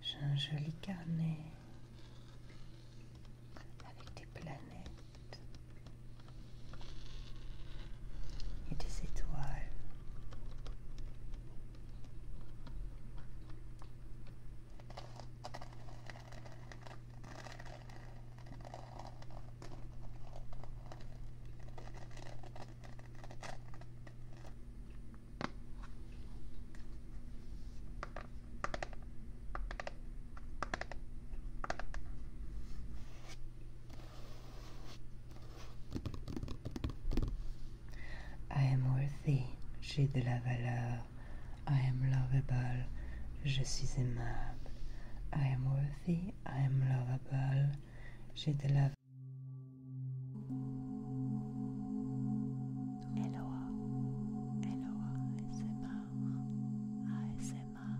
J'ai un joli carnet avec des planètes et des étoiles. I am worthy, j'ai de la valeur. I am lovable, je suis aimable. I am worthy, I am lovable, j'ai de la valeur. Eloa, Eloa ASMR, ASMR,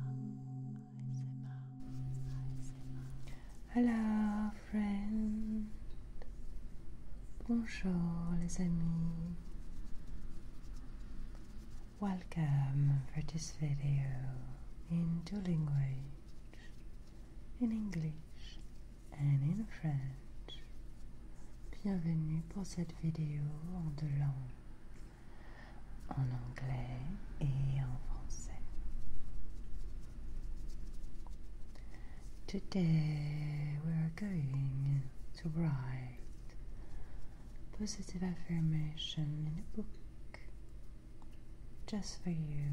ASMR, ASMR. Hello, friend. Bonjour, les amis. Welcome for this video in two languages in English and in French. Bienvenue pour cette vidéo en deux langues, en anglais et en français. Today we are going to write positive affirmation in a book just for you.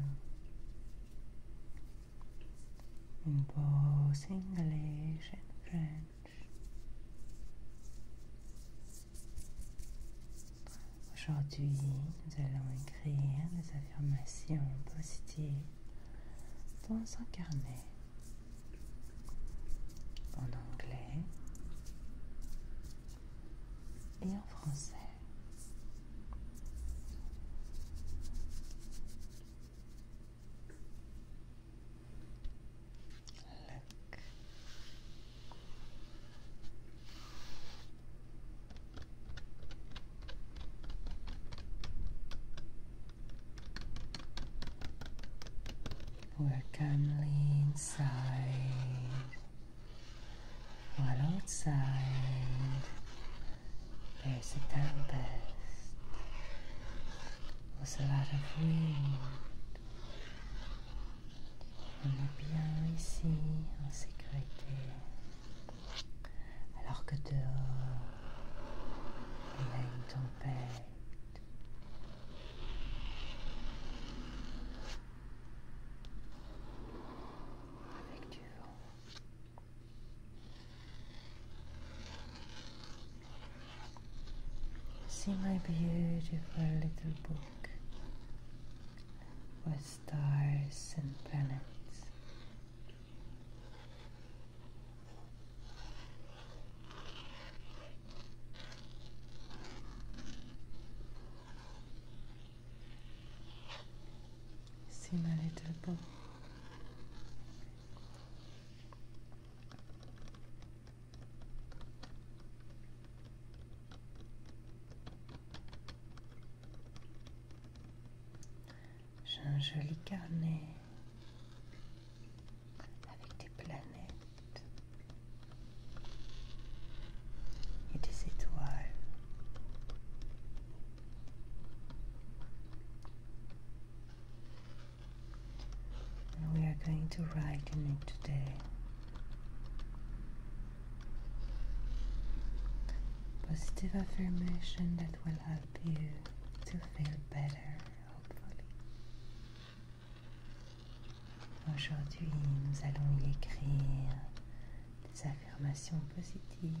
Une anglais et en French. Aujourd'hui, nous allons écrire des affirmations positives dans un carnet en anglais et en français. Look. we calmly inside while outside C'est a tempest. on a va On est bien ici, en sécurité. Alors que dehors, il y a une tempête. Avec du vent. See my beautiful little book with stars and planets. See my little book J'ai un joli carnet avec des planètes et des étoiles and we are going to write in it today. Positive affirmation that will help you to feel better, hopefully. Aujourd'hui, nous allons écrire des affirmations positives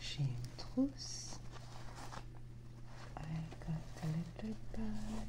J'ai une trousse. i got a little bag.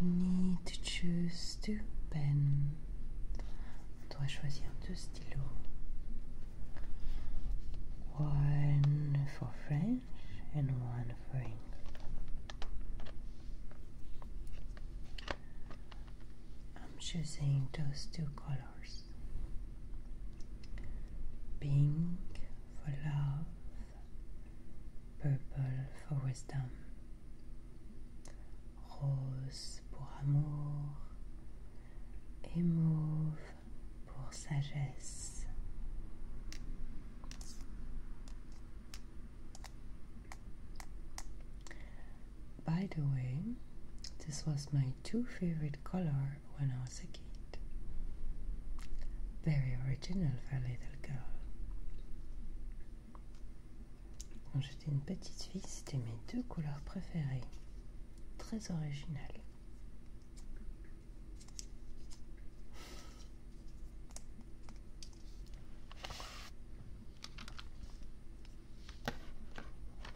We need to choose two pen. On doit choisir deux stylos. One for French and one for English. I'm choosing those two colors pink for love, purple for wisdom, rose for amour, et mauve pour sagesse. By the way, this was my two favorite color when I was a kid. Very original for a little girl. Quand j'étais une petite fille, c'était mes deux couleurs préférées. Très original.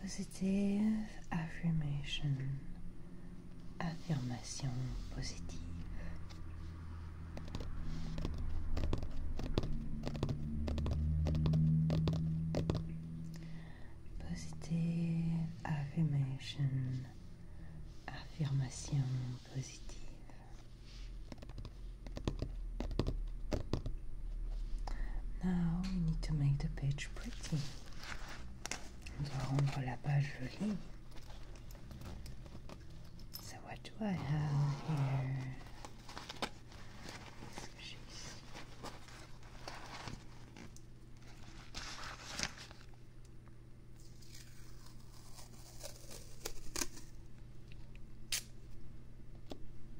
Positive affirmation. Affirmation positive. Positive affirmation. Affirmation positive. Now we need to make the page pretty. On doit rendre la page So what do I have here?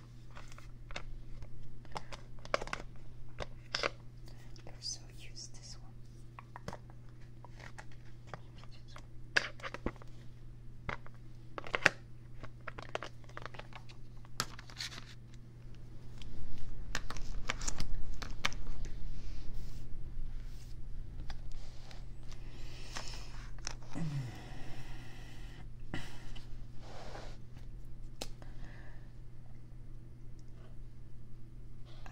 I also use this one. Maybe this one. Maybe.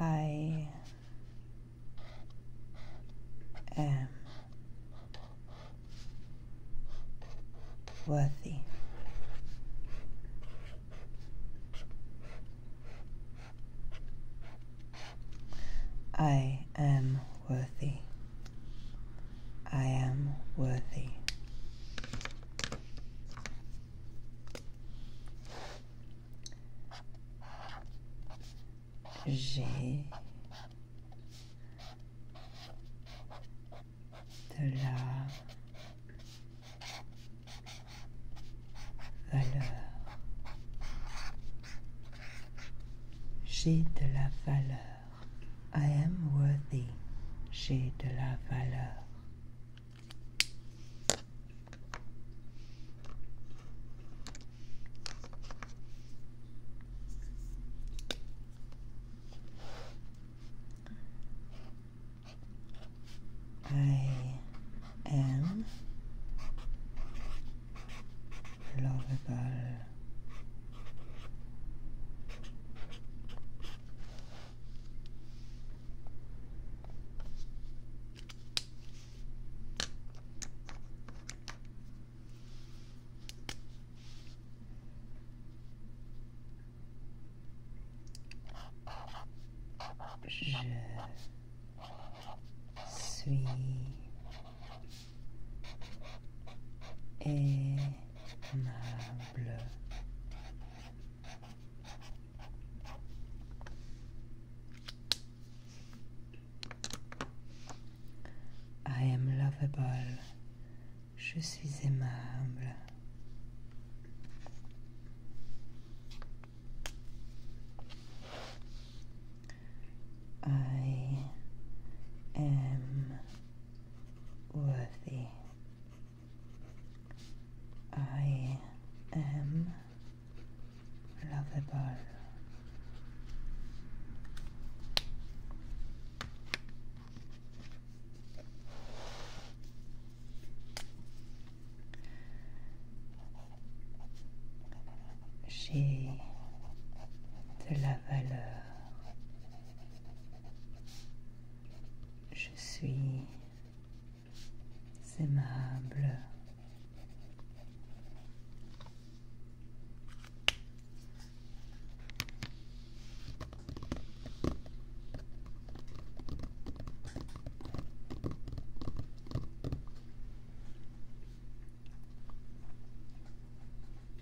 I am worthy. I am worthy. I am worthy. J'ai de la valeur. J'ai de la valeur. I am worthy, j'ai de la valeur. I am lovable. Je suis et I am lovable. Je suis aimable. I am worthy. I am lovable. J'ai de la valeur. Je suis aimable.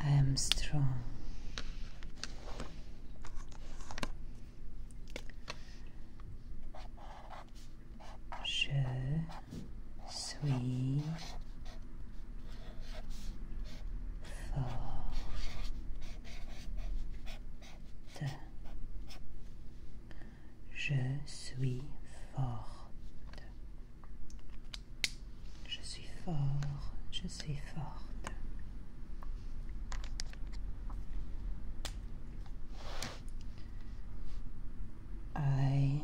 I Je suis forte. Je suis forte. Je suis fort, je suis forte. I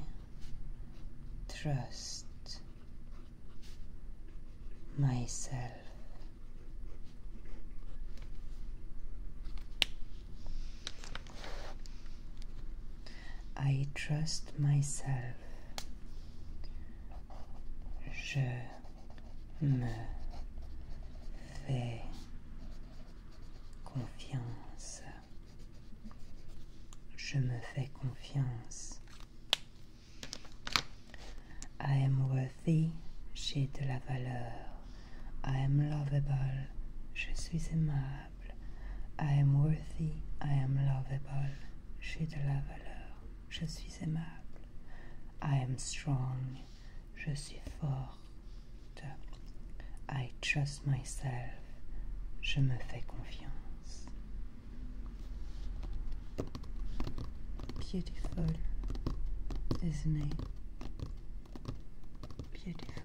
trust myself. I trust myself. Je me fais confiance. Je me fais confiance. I am worthy. J'ai de la valeur. I am lovable. Je suis aimable. I am worthy, I am lovable. J'ai de la valeur, je suis aimable. I am strong, je suis fort. I trust myself, je me fais confiance. Beautiful, isn't it? Beautiful.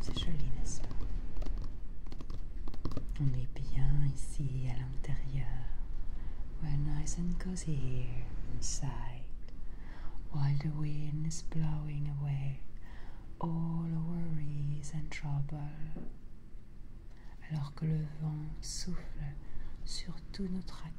C'est joli, n'est-ce pas On est bien ici à l'intérieur. We're nice and cozy here inside. While the wind is blowing away all our worries and trouble. Alors que le vent souffle sur tout nos tracas.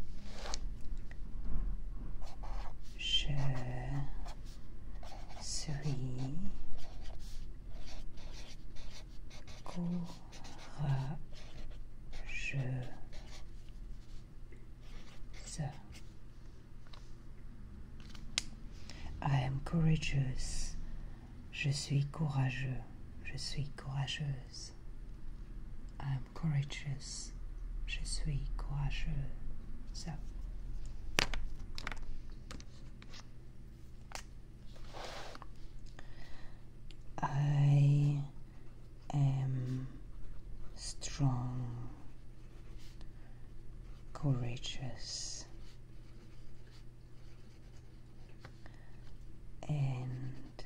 Je suis courageuse. I am courageous. Je suis courageux. Je suis courageuse. I am courageous. Je suis courageux. I am strong, courageous and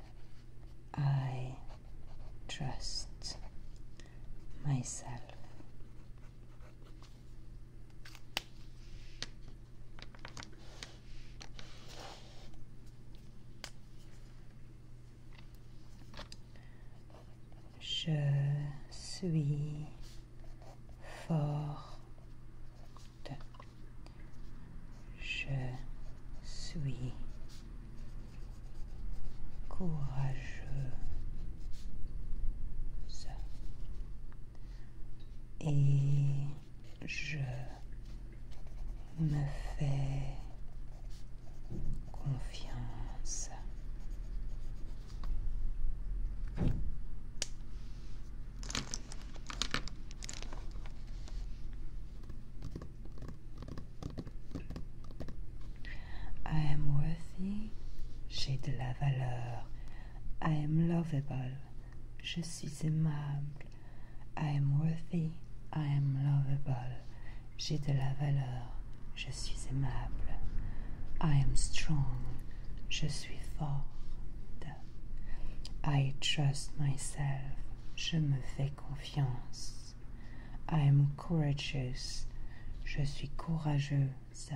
I trust myself. Je suis forte. Je suis courageux et je me fais confiance. I am worthy, j'ai de la valeur. I am lovable, je suis aimable. I am worthy, I am lovable. J'ai de la valeur, je suis aimable. I am strong, je suis forte. I trust myself, je me fais confiance. I am courageous. Je suis courageuse.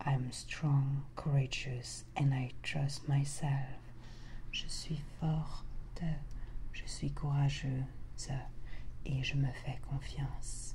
I'm strong, courageous, and I trust myself. Je suis forte, je suis courageuse et je me fais confiance.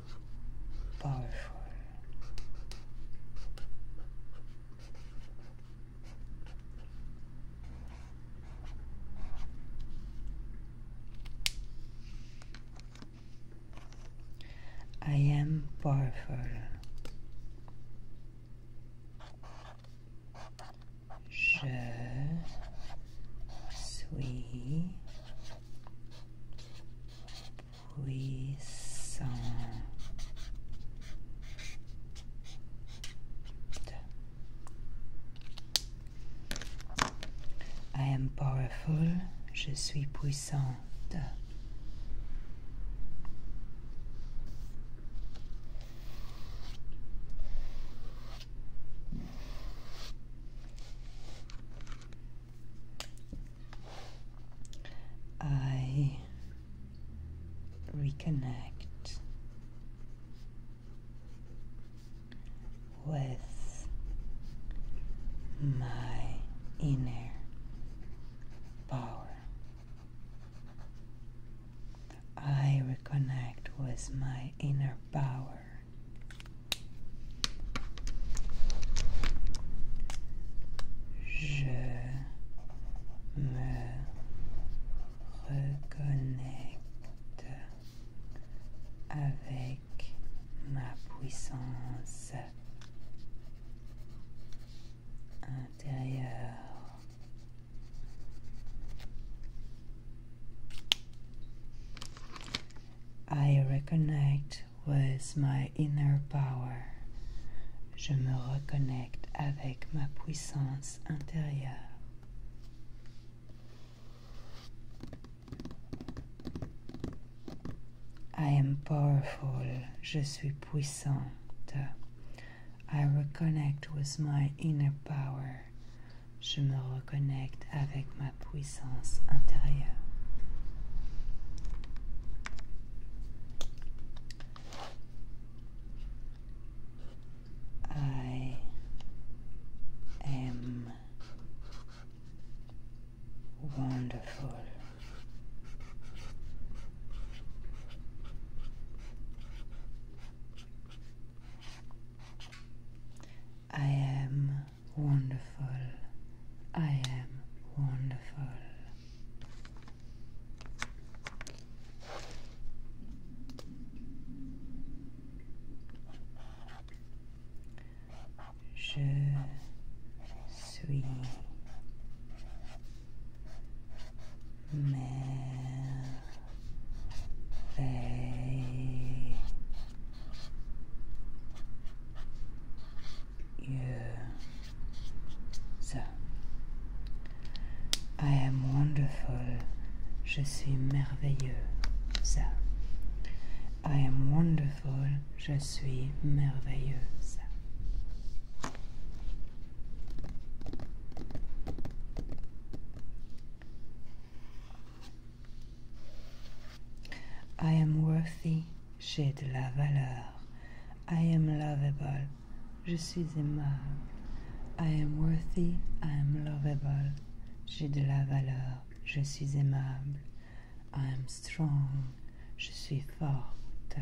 powerful. I am powerful. Je suis puissante. I am powerful. Je suis puissante. I reconnect with my inner power. I reconnect with my inner power Je me reconnecte avec ma puissance intérieure. I reconnect was my inner power. Je me reconnecte avec ma puissance intérieure. I am powerful. Je suis puissante. I reconnect with my inner power. Je me reconnecte avec La puissance intérieure. I am wonderful. I am wonderful. I am wonderful. Je suis merveilleux. I am wonderful je suis merveilleux ça I am wonderful je suis merveilleux ça I am worthy j'ai de la valeur. I am lovable. Je suis aimable. I am worthy. I am lovable. J'ai de la valeur. Je suis aimable. I am strong. Je suis forte.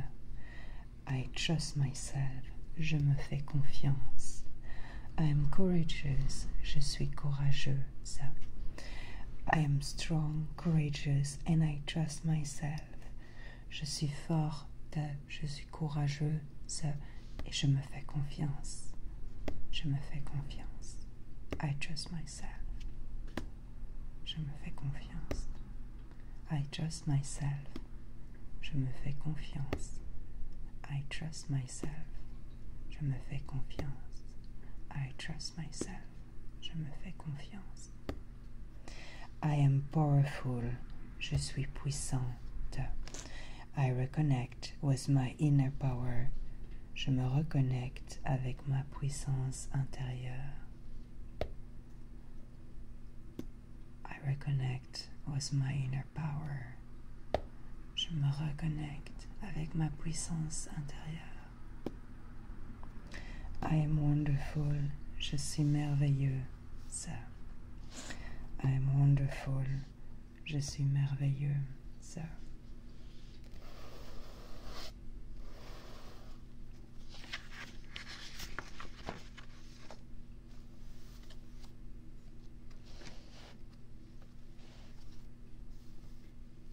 I trust myself. Je me fais confiance. I am courageous. Je suis courageuse. I am strong courageous and I trust myself. Je suis fort, je suis courageuse et je me fais confiance. Je me fais confiance. I trust myself. Je me fais confiance. I trust myself. Je me fais confiance. I trust myself. Je me fais confiance. I trust myself. Je me fais confiance. I am powerful. Je suis puissante. I reconnect with my inner power. Je me reconnecte avec ma puissance intérieure. I reconnect with my inner power. Je me reconnecte avec ma puissance intérieure. I am wonderful, je suis merveilleux, ça. I am wonderful, je suis merveilleux, ça.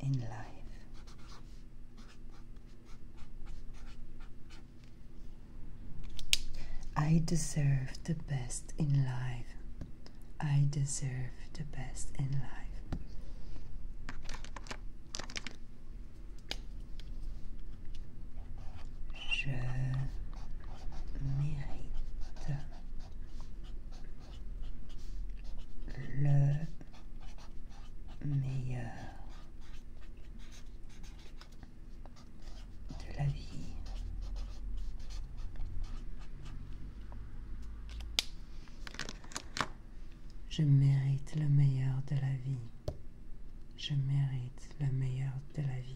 in life. I deserve the best in life. I deserve the best in life. Je mérite le meilleur de la vie. Je mérite le meilleur de la vie. Je mérite le meilleur de la vie.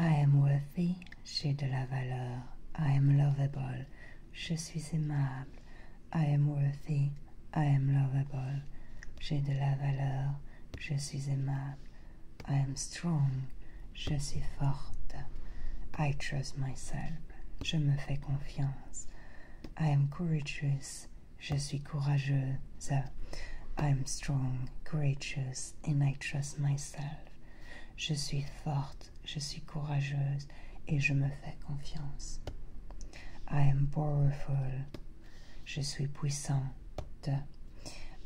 I am worthy, j'ai de la valeur. I am lovable, je suis aimable. I am worthy, I am lovable. J'ai de la valeur, je suis aimable. I am strong, je suis forte. I trust myself, je me fais confiance. I am courageous, je suis courageuse. I am strong, courageous, and I trust myself. Je suis forte, je suis courageuse, et je me fais confiance. I am powerful, je suis puissante.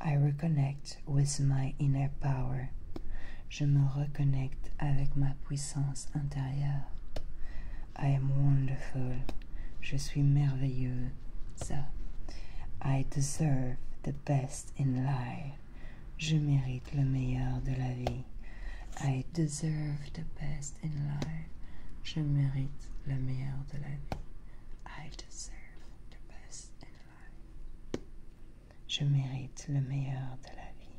I reconnect with my inner power. je me reconnecte avec ma puissance intérieure. I am wonderful. Je suis merveilleuse. I deserve the best in life. Je mérite le meilleur de la vie. I deserve the best in life. Je mérite le meilleur de la vie. I deserve the best in life. Je mérite le meilleur de la vie.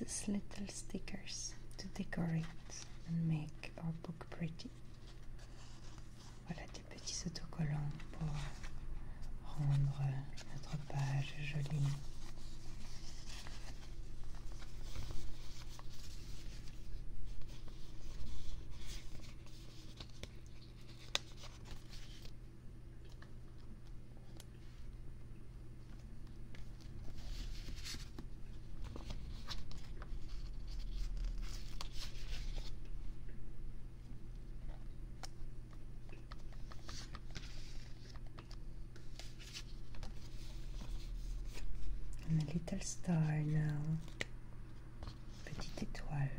This is little stickers to decorate and make our book pretty. voilà des petits autocollants pour rendre notre page jolie. And a little star now, petite étoile. Petite étoile.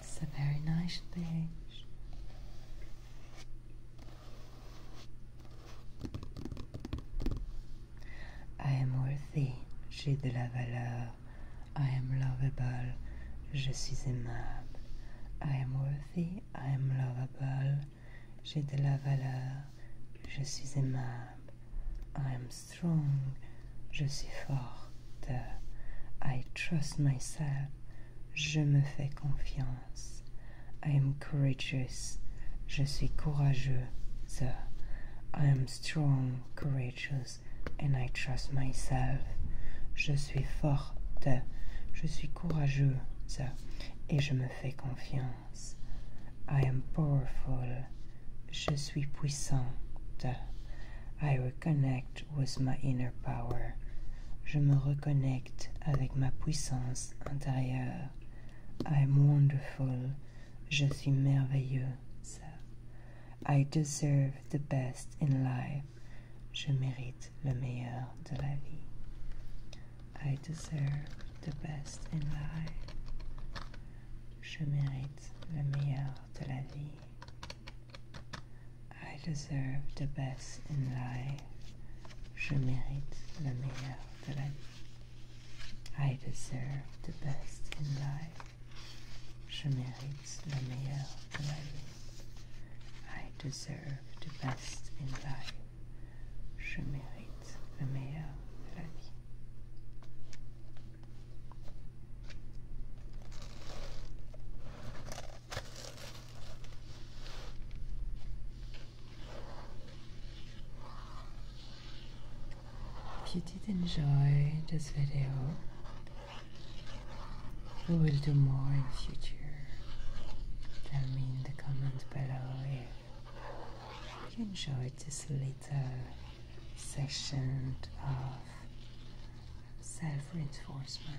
It's a very nice page. I am worthy, j'ai de la valeur. I am lovable, je suis aimable. I am worthy, I am lovable. J'ai de la valeur. Je suis aimable. am strong. Je suis forte. I trust myself. Je me fais confiance. I am courageous. Je suis courageux. I am strong, courageous, and I trust myself suis forte, je suis courageuse et je me fais confiance. I am powerful, je suis puissante. I reconnect with my inner power. Je me reconnecte avec ma puissance intérieure. I am wonderful, je suis merveilleuse. I deserve the best in life je mérite le meilleur de la vie. I deserve the best in life. Je mérite le meilleur de la vie. I deserve the best in life. Je mérite le meilleur de la vie. I deserve the best in life. Je mérite le meilleur de la vie. I deserve the best in life. Je mérite le meilleur de la vie. If you did enjoy this video, We will do more in future. Tell me in the commentaires below if you enjoyed this little section of self-reinforcement.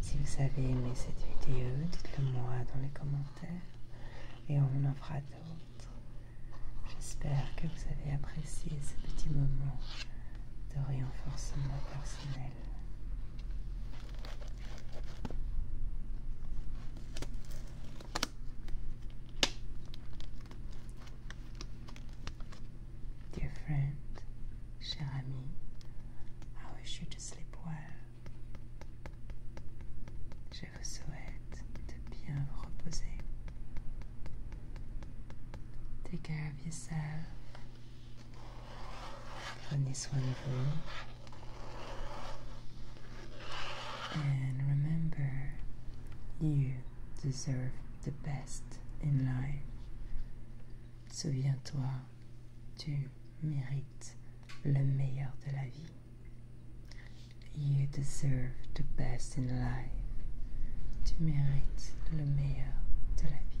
Si vous avez aimé cette vidéo, dites-le moi dans les commentaires et on en fera d'autres. J'espère que vous avez apprécié ce petit moment de renforcement personnel. Dear friend, cher ami, I wish you to sleep well. Je vous souhaite de bien vous reposer. Take care of yourself. Prenez this de vous. And remember, you deserve the best in life. Souviens-toi, tu mérites le meilleur de la vie. You deserve the best in life. Tu mérites le meilleur de la vie.